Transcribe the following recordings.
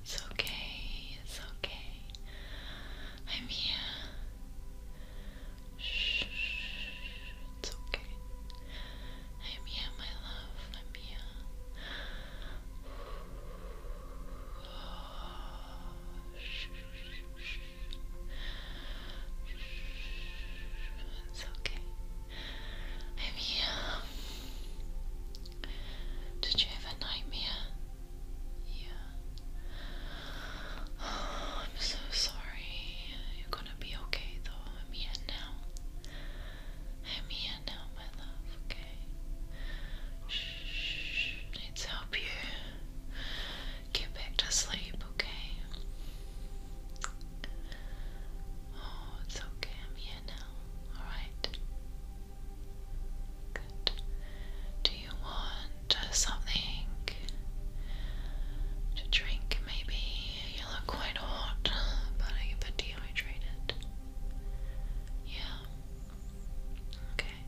It's okay, it's okay. I'm here. it's okay. I'm here, my love. I'm here. It's okay. I'm um, here. Did you have a nightmare? Yeah. Oh, I'm so sorry. You're gonna be okay though. i now. i now, my love, okay? Shh, let's help you get back to sleep, okay? Oh, it's okay. I'm here now. Alright. Good. Do you want uh, something to drink? Maybe you look quite hot, but I'm a bit dehydrated. Yeah. Okay.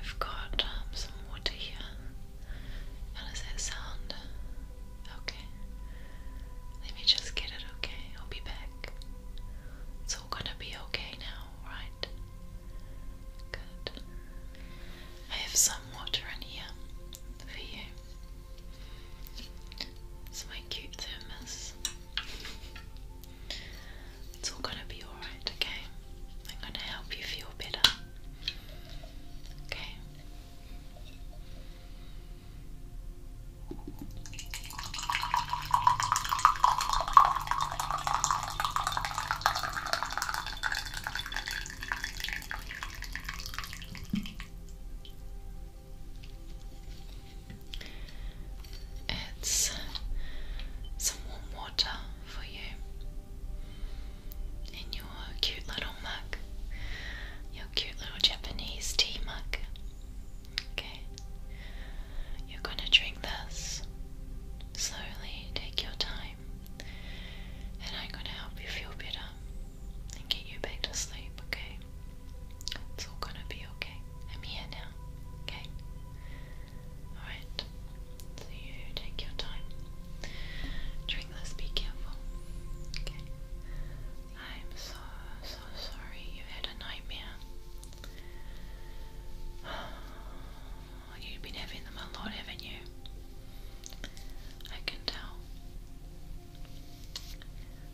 I've got um, some water here. How does that sound? Okay. Let me just get it okay. I'll be back. It's all gonna be okay now, right? Good. I have some water in here for you. It's my cute thermos. It's all gonna be alright, okay? I'm gonna help you feel better. Okay. It's some warm water for you in your cute little mug, your cute little Japanese tea mug. Okay, you're going to drink this slowly, take your time, and I'm going to help you feel better and get you back to sleep, okay? It's all going to be okay. I'm here now, okay? Alright, so you take your time. During this, be careful. Okay. I'm so, so sorry you had a nightmare. you've been having them a lot, haven't you? I can tell.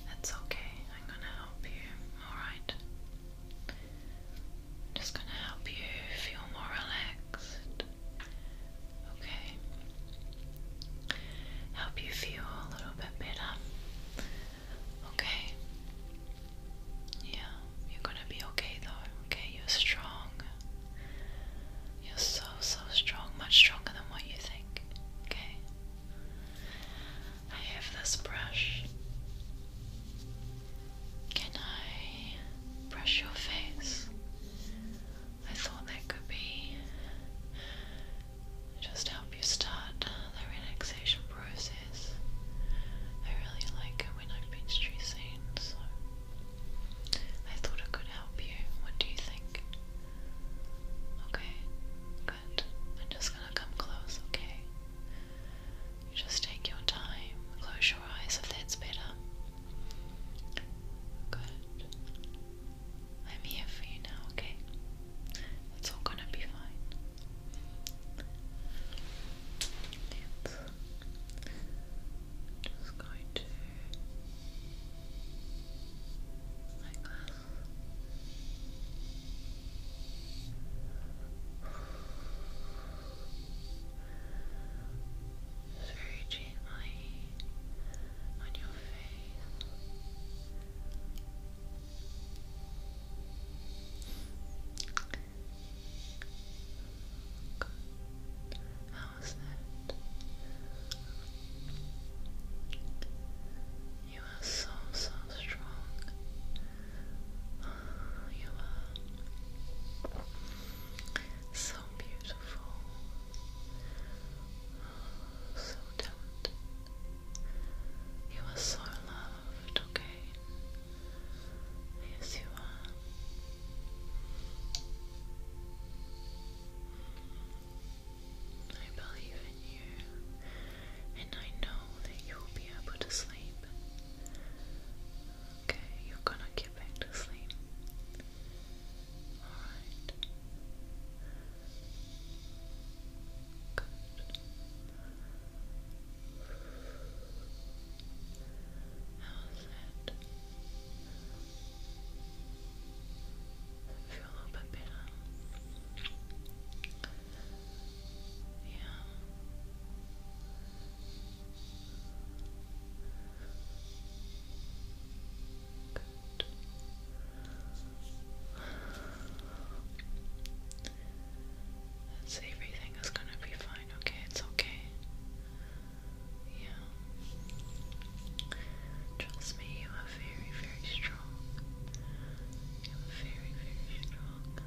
That's okay. I'm gonna help you. Alright. I'm just gonna help you feel more relaxed. Okay. Help you feel a little bit better. Okay. Yeah, you're gonna be okay though. Okay, you're strong. You're so, so strong. Much stronger than what you think. Okay. I have this brush. Can I brush your face? I thought that could be just help you start the relaxation process. I really like it when I've been stressing, so I thought it could help you. What do you think? Okay, good. I'm just gonna come close, okay? You just take your time, close your eyes if that's better. Good. I'm here for you now, okay? It's all gonna be fine. Just going to like that. It's very touching my that? You are so, so strong. You are so beautiful. So talented. You are so loved, okay? Yes, you are. I believe in you, and I know that you will be able to sleep. Okay, you're gonna get back to sleep mind. Good. How's it? feel a little bit better. Yeah everything is gonna be fine, okay? It's okay. Yeah. Trust me, you are very, very strong. You are very, very strong.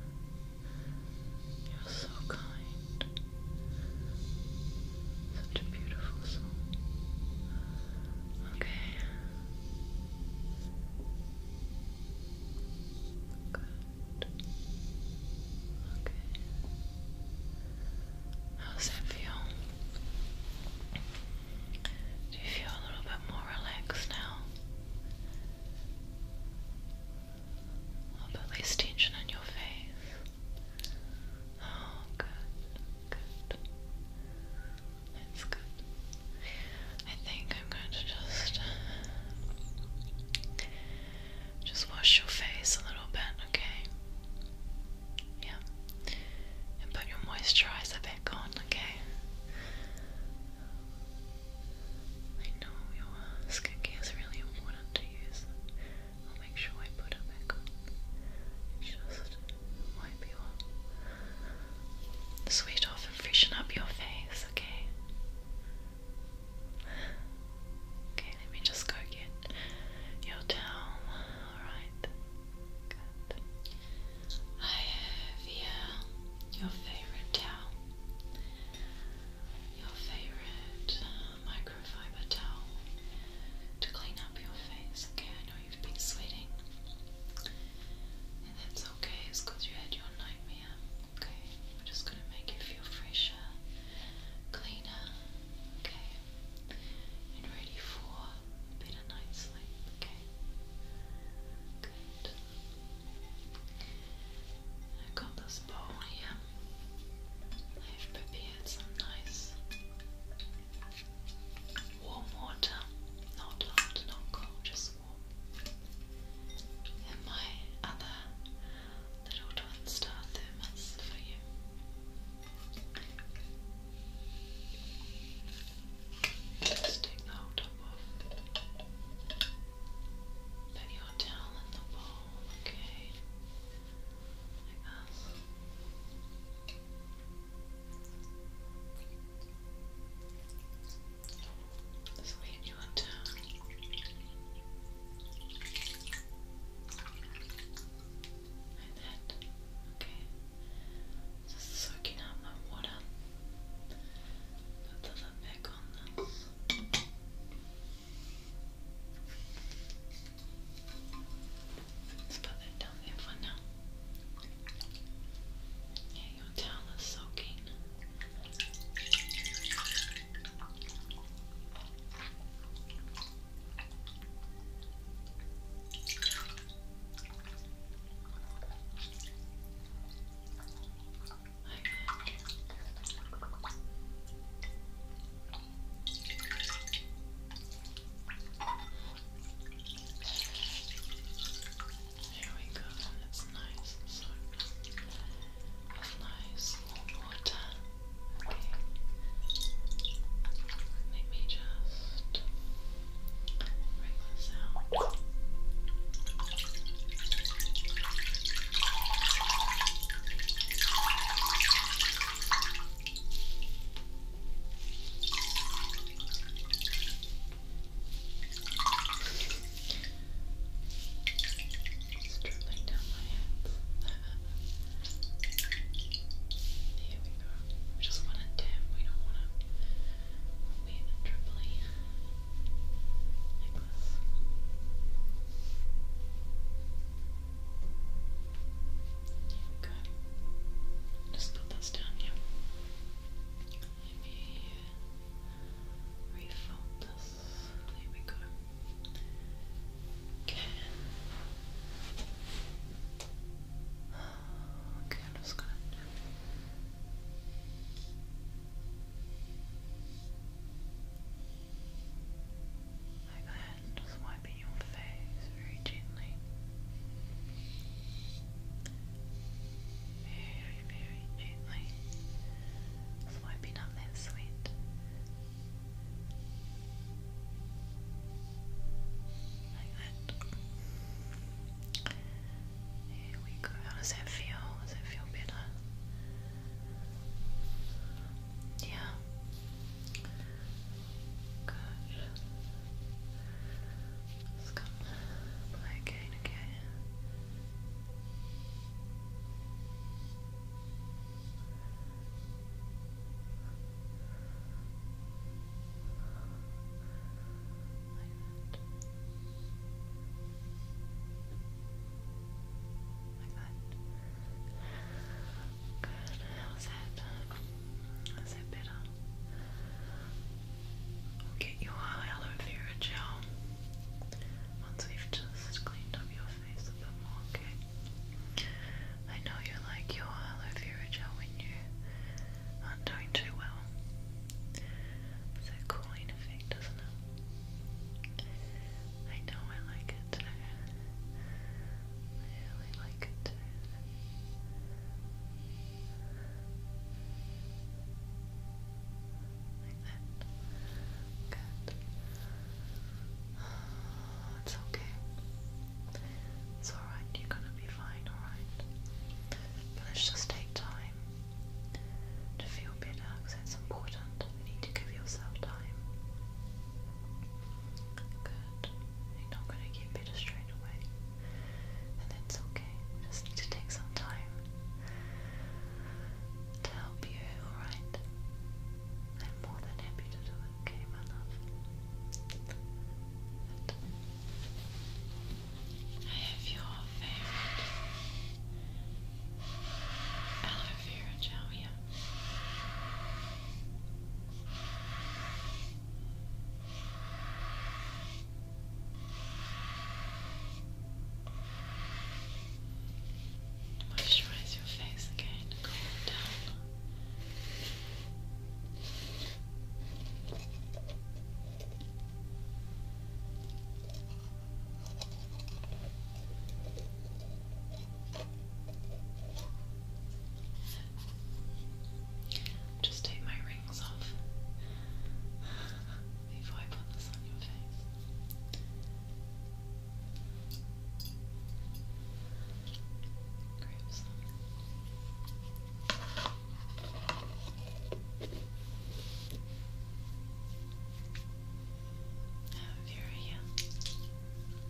You're so kind. Such a beautiful song. Okay. Good. Okay. How does that feel? Do you feel a little bit more relaxed now? A little bit tension on your face. Oh, good. Good. good. I think I'm going to just uh, just wash your face a little bit, okay? Yeah. And put your moisturizer back on, okay? I know your skincare is really important to you. I'll make sure I put her back on. Just wipe you Sweat off and freshen up your face, okay? Okay, let me just go get your towel. Alright. I have here your favorite towel. Your favorite um, a microfiber towel to clean up your face. Okay, I know you've been sweating. And that's okay, because you had your nightmare. Okay, we're just going to make you feel fresher, cleaner, okay, and ready for a better night's sleep. Okay, good. I got this bowl here. I've prepared had some nice warm water, not hot, not cold, just warm. And my other little twin thermos for you. take the top off. Put your towel in the bowl, okay? like this. This way you Okay. Just soaking up my water. Put that back on this. Let's put that down there for now. Yeah, your towel is soaking. There we go, that's nice. So, that's nice. More water. Okay. Let me just bring this out. Okay, Stripping down my hands. Here we go. We just want to dip, we don't want to wait and dribbly necklace. Just put this down here. Maybe refold this. There we go. Okay. Okay, I'm just gonna. Like that just wiping your face very gently. Very, very gently. Swiping up that sweat. Like that. How does that feel? Does that feel better? Yeah. Gosh. Let's go play a game again. Like that. Like that. Good. that? How's that better? We'll get your aloe vera gel once we've just cleaned up your face a bit more, okay? I know you like your aloe vera gel when you aren't doing too well. It's a cooling effect, doesn't it? I know I like it really like it. Like that. Good. it's okay. It's alright, you're gonna be fine, alright? But let's just take time to feel better because it's important. You need to give yourself time. Good. You're not going to get better straight away. And that's okay. We just need to take some time to help you, alright? I'm more than happy to do it, okay, my love? I have your favorite aloe vera gel here. Moisturize your face again, calm it down. Just take my rings off before I put this on your face. Grab some. Vera here.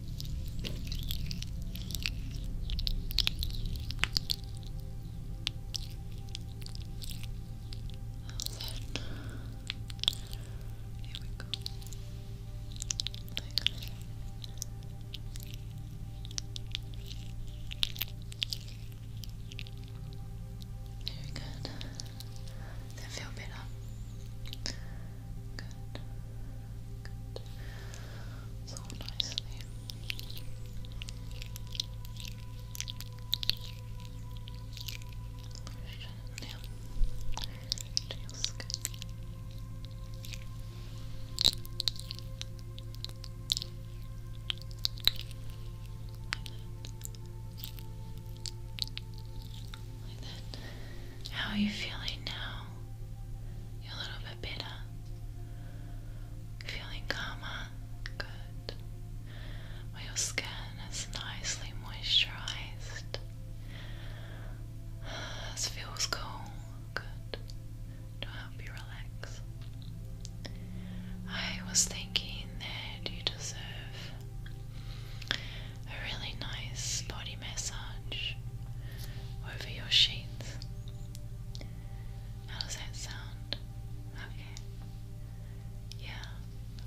Here we go. very good. that feel better? Good so nicely. Push it down to Like that. How are you feeling now? You're a little bit better. Feeling calmer? Good. your skin is nicely moisturized. This feels cool. Good. To help you relax. I was thinking that you deserve a really nice body massage over your sheets. How does that sound? Okay. Yeah,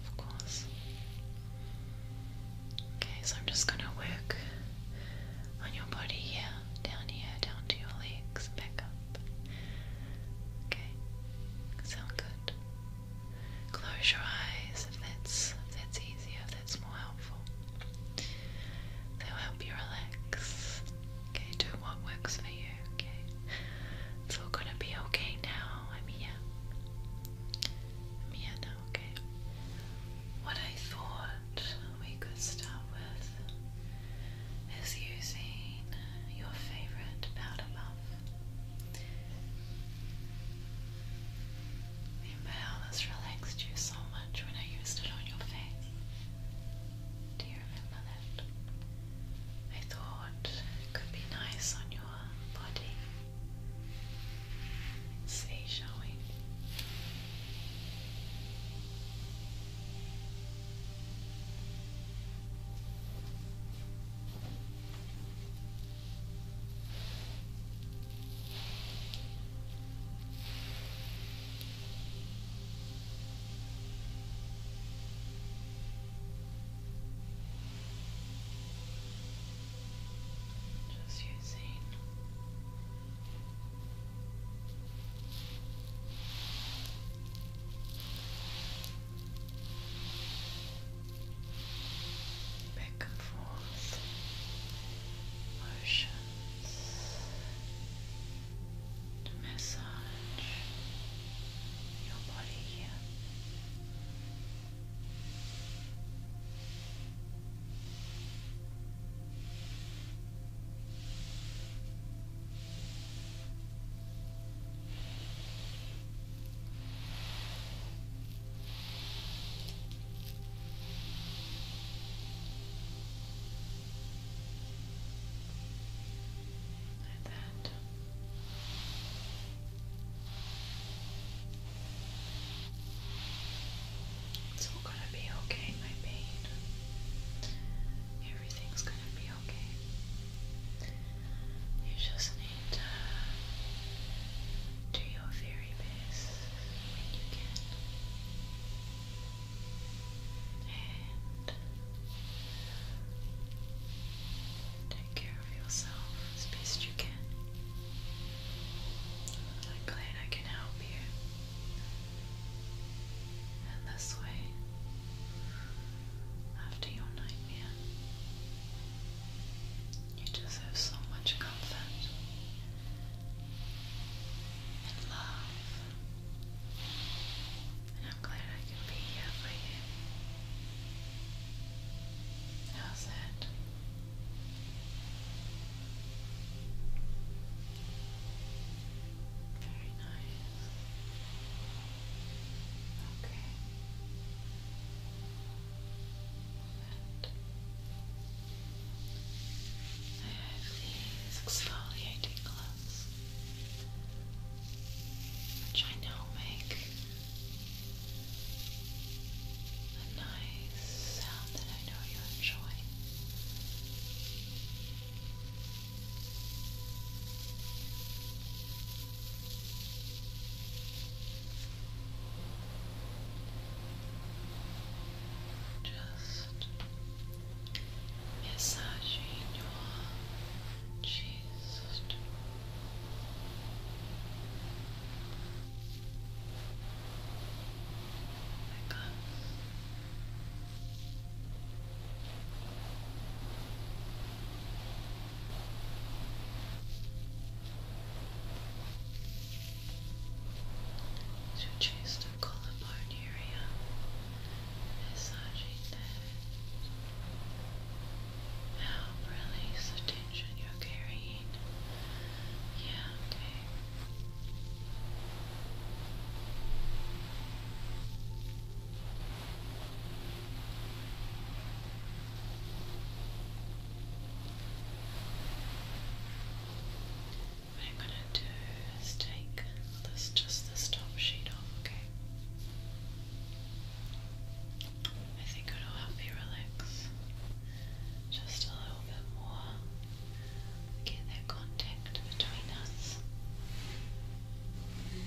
of course. Okay, so I'm just gonna work on your body here, down here, down to your legs, back up. Okay, sound good. Close your eyes if that's if that's easier, if that's more helpful. They'll help you relax. Okay, do what works for you, okay? It's all gonna be okay now. I'm here. I'm here now, okay? What I thought we could start with is using your favorite powder puff. The relaxed you so much when I used it on your face. Do you remember that? I thought it could be nice on your body. see, shall we? Just using back and forth motion to massage your body here. Like It's all gonna be okay, my pain. Everything's gonna be okay. You just need to do your very best when you can. And take care of yourself as best you can. I'm glad I can help you. And this way, after your nightmare, you deserve so much comfort and love. I'm glad I can be here for you. How's that? Very nice. Okay. I have these exfoliating gloves, which I now make a nice sound that I know you enjoy. Just massaging your chest. Like a your chest the collarbone area, massaging that. Help release the tension you're carrying. Yeah, okay. What I'm gonna do is take this just this top sheet off, okay? I think it'll help you relax just a little bit more. Get that contact between us. Okay.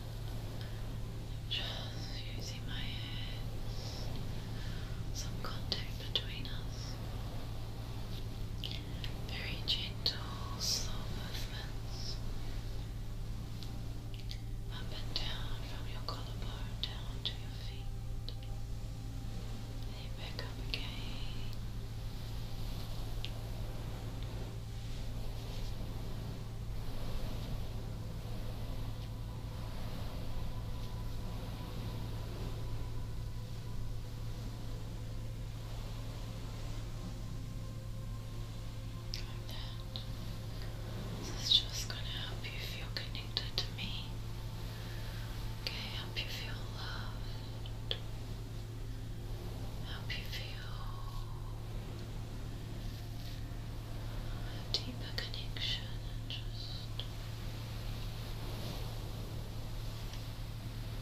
Just using my hands, some contact between us. Very gentle, slow movements. Up and down from your collarbone down to your feet. Then back up again. This is just going to help you feel connected to me. Okay, help you feel loved help you feel a deeper connection and just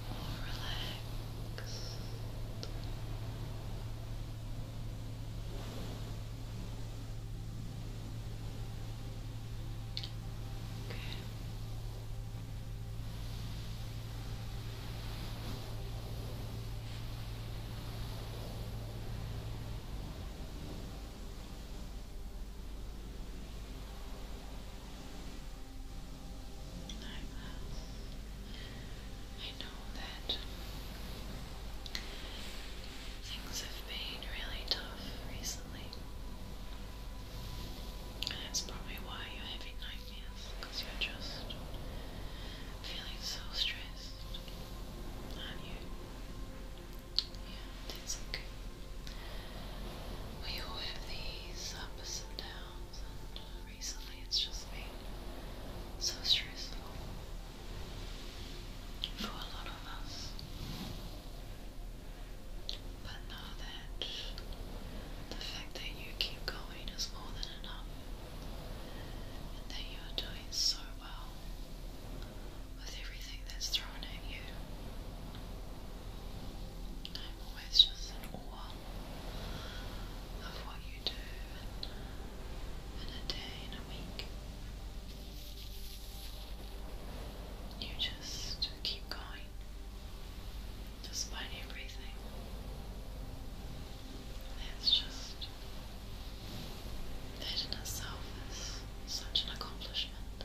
more Okay. I know that things have been really tough recently. And that's probably why you're having nightmares yes, because you're just feeling so stressed, aren't you? Yeah, that's okay. We all have these ups and downs, and uh, recently it's just been so stressful for a lot of us. But know that the fact that you keep going is more than enough that you are doing so well with everything that's thrown at you. I'm always just in awe of what you do And in a day, in a week. You just keep going despite everything. It's just that in itself is such an accomplishment.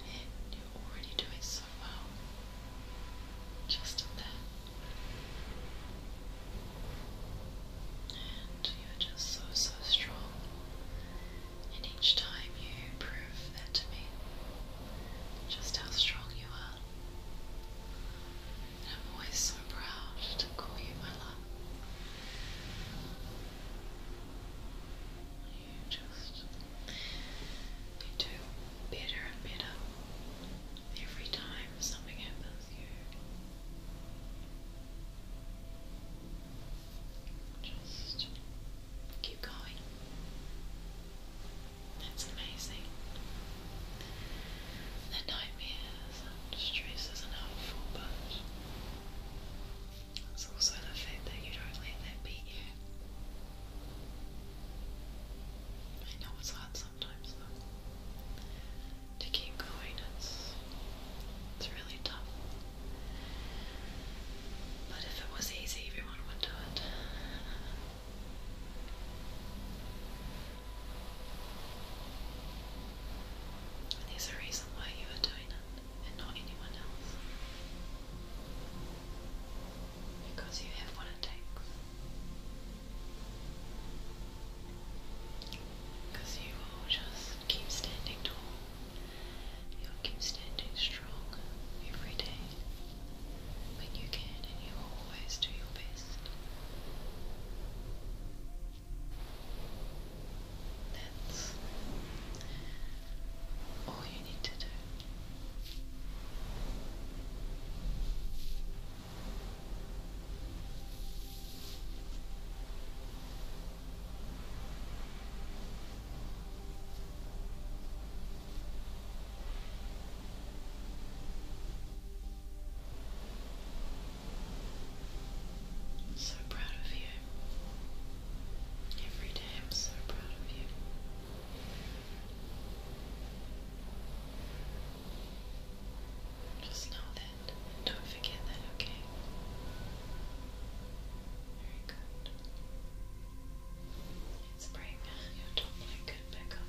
And you already do so well. Just there. And you're just so, so strong. And each time you prove that to me, just how strong you are. I'm always so proud to call you my love. You just do better and better every time something happens you just keep going. It's amazing. they nightmares and stresses and helpful, but it's also the fact that you don't let that beat you. I know it's hard sometimes though. To keep going, it's it's really tough. But if it was easy, everyone would do it. And there's a reason why you are doing it and not anyone else. Because you have what it takes. Because you will just keep standing tall. You'll keep standing strong every day when you can, and you will always do your best. That's all you need to do. I'm so proud of you. Every day I'm so proud of you. Just know that. Don't forget that, okay? Very good. Let's your top blanket back up.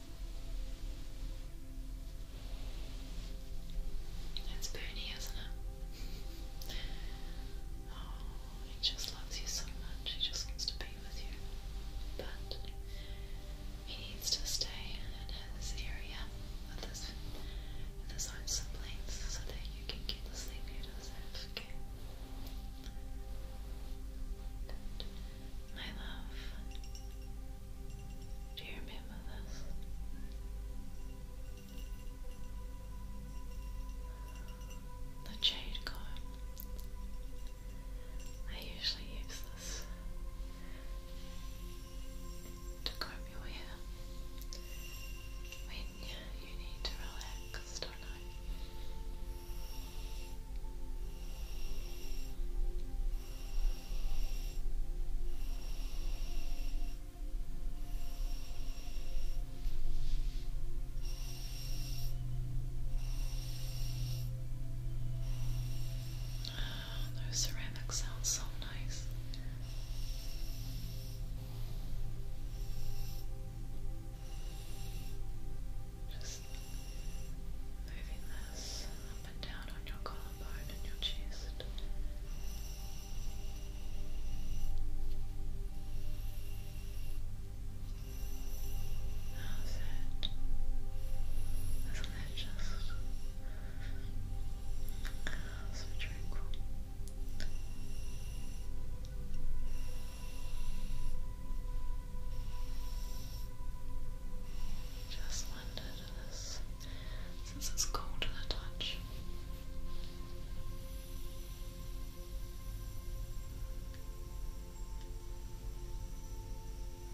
It's Bernie, isn't it? Oh, he just loves you so much. He just wants to be with you. But he needs to stay in his area with his, with his own siblings so that you can get the sleep you deserve, okay? My love, do you remember this? The jade comb. I usually use this to comb your hair when you need to relax, don't I? Oh, those ceramics sound so nice. Just moving this and down on your collarbone and your chest. How's it? Isn't that just so tranquil? Just wondered this, since it's cold to the touch.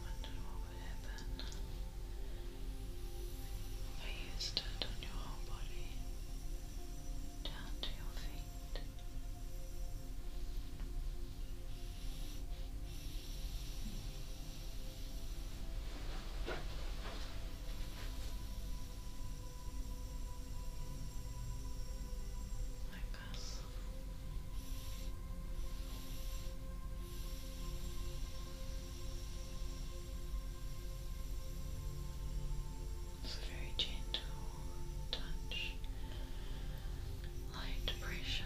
Wondered what would happen if I used it on your whole body, down to your feet like this. It's a very gentle touch, light pressure.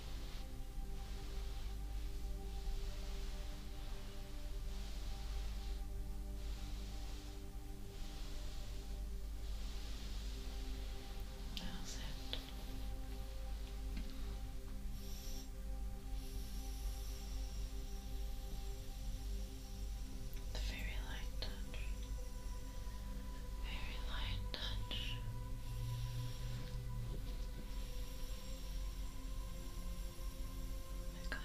That's it. The very light touch, very light touch. Good.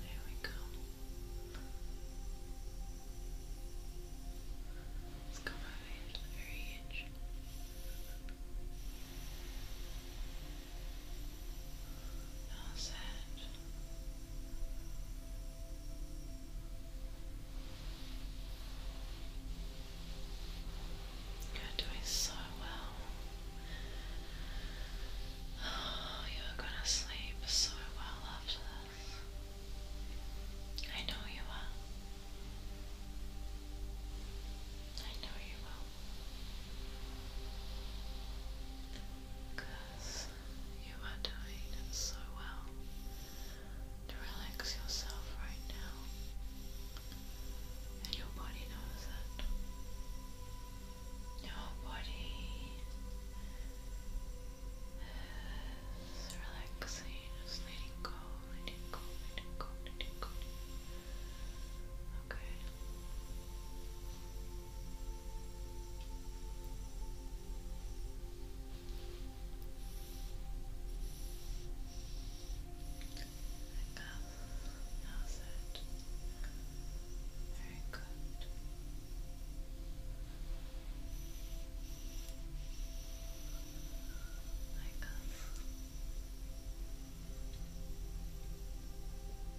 There we go. Let's come over here to the very edge. Good. That's You're doing so well. Oh, you're gonna sleep so well after this. I know you are. I know you will. Because you are doing so well to relax yourself right now, and your body knows it. Your body is relaxing, just go, letting go, letting go, letting go. Okay. Like that. That's it. Very good. Like that. Well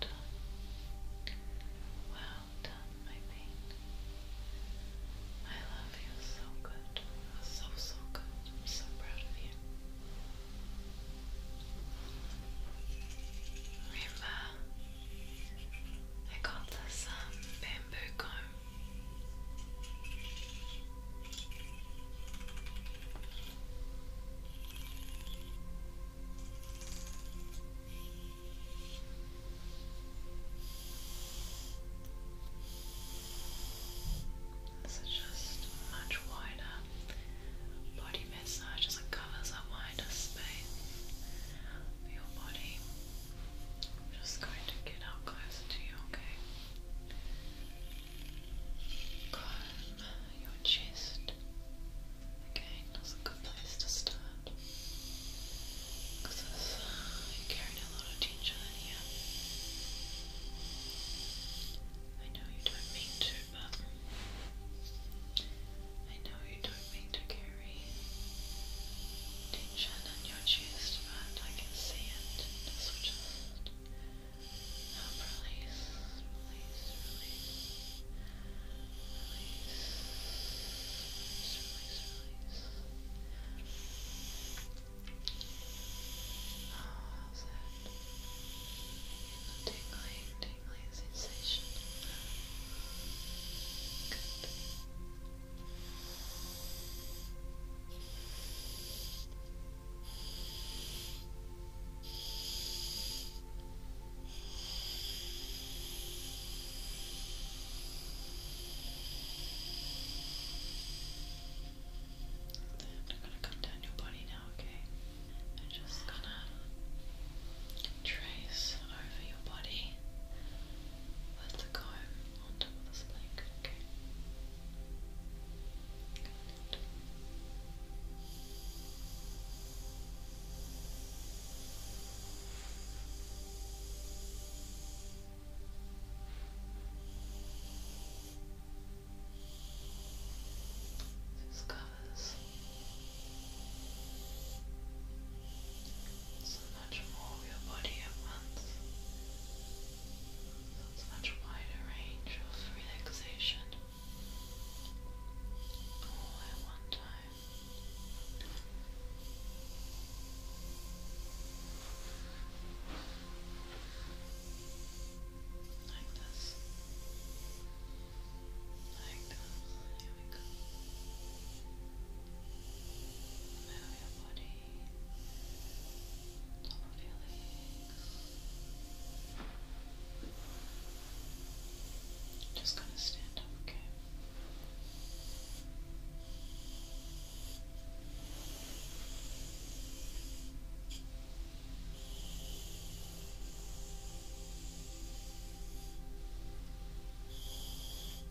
done. Well done, my paint. I love you so good. So, so good. I'm so proud of you. Riva, I got this um, bamboo comb this is just much wider body massage as it covers a wider space for your body. I'm just going to get up closer to you, okay? Comb your chest. Again, that's a good place to start. Because you're carrying a lot of tension here. I know you don't mean to, but I know you don't me to carry tension in your chest, but I can see it. So just release, release, release, release, release, release, Oh, how's tingling, tingling sensation. Good. I'm gonna come down your body now, okay? I'm just gonna trace over your body that's the comb on top of the splink. Okay. covers so much more of your body at once. That's a much wider range of relaxation all at one time. Like this. Like this. Here we go your body, Just gonna stand up, okay?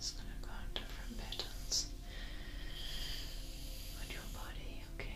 Just going to go in different patterns on your body, Okay.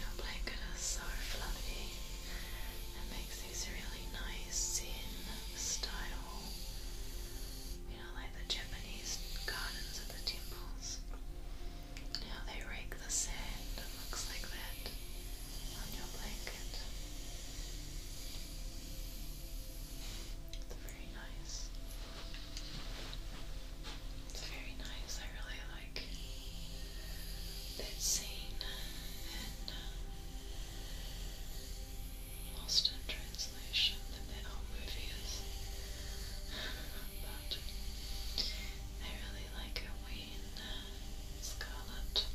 Your blanket is fluffy. It makes these really nice in style. You know, like the Japanese gardens at the temples. You they rake the sand, it looks like that on your blanket. It's very nice. It's very nice. I really like that scene in uh, um, Lost in Translation that that whole movies. is but I really like it when uh, Scarlett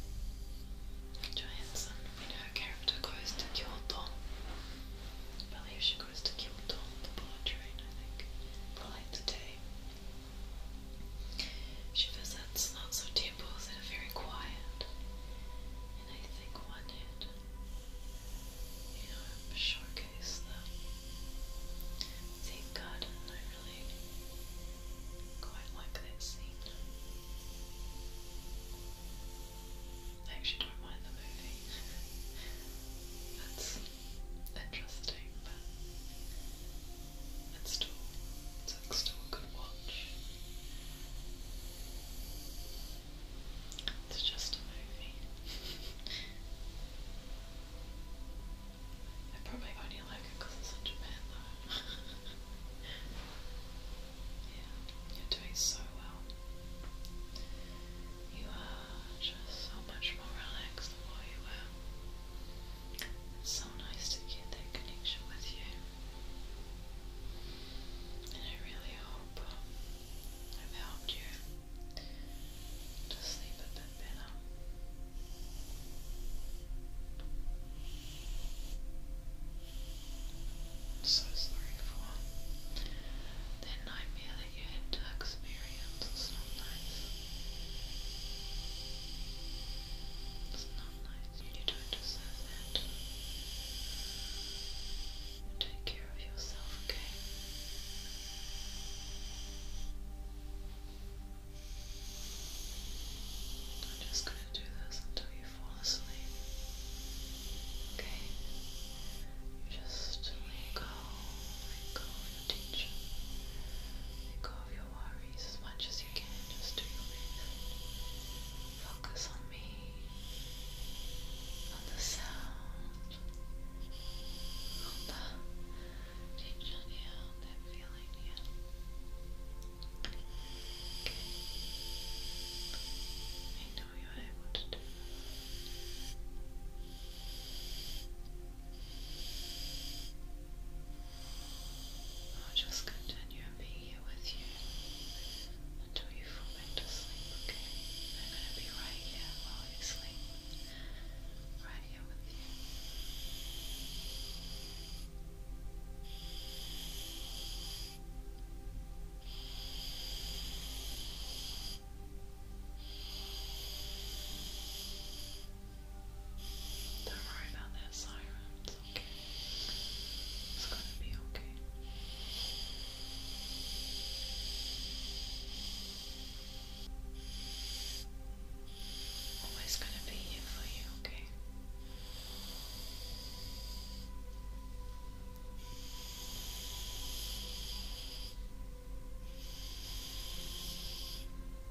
Johansson, you know, her character goes to Kyoto I believe she goes to Kyoto on the bullet train, I think, for like she visits lots of temples that are very quiet, and I think one had, you know, showcased the Zen garden. I really quite like that scene. I actually don't mind the movie. interesting, but it's still, it's still a good watch. It's just a movie. I probably only like it because it's in Japan though. yeah, you're doing so well. You are just so much more relaxed than what you were it's so nice to get that connection with you. And I really hope I've helped you to sleep a bit better. I'm so sorry for that nightmare that you had to experience. It's not nice. You don't deserve that. Take care of yourself, okay? I'm just going to do this until you fall asleep. Okay? You just let go, let go of your tension, let go of your as much as you can. Just do your best. Focus on me, on the sound, on the feeling here. Okay. I know you're able to do that. I'll just continue and here with you until you fall back sleep, I'm going to be right here while you sleep, right here with you. Don't worry about that siren, it's okay. It's gonna be okay. Always gonna be here for you, okay?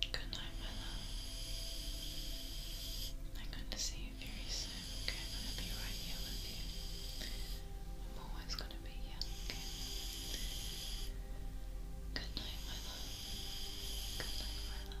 Good night, my love. I'm going to see you very soon, okay? I'm going to be right here with you. I'm always going to be here, okay? Good night, my love. Good night, my love.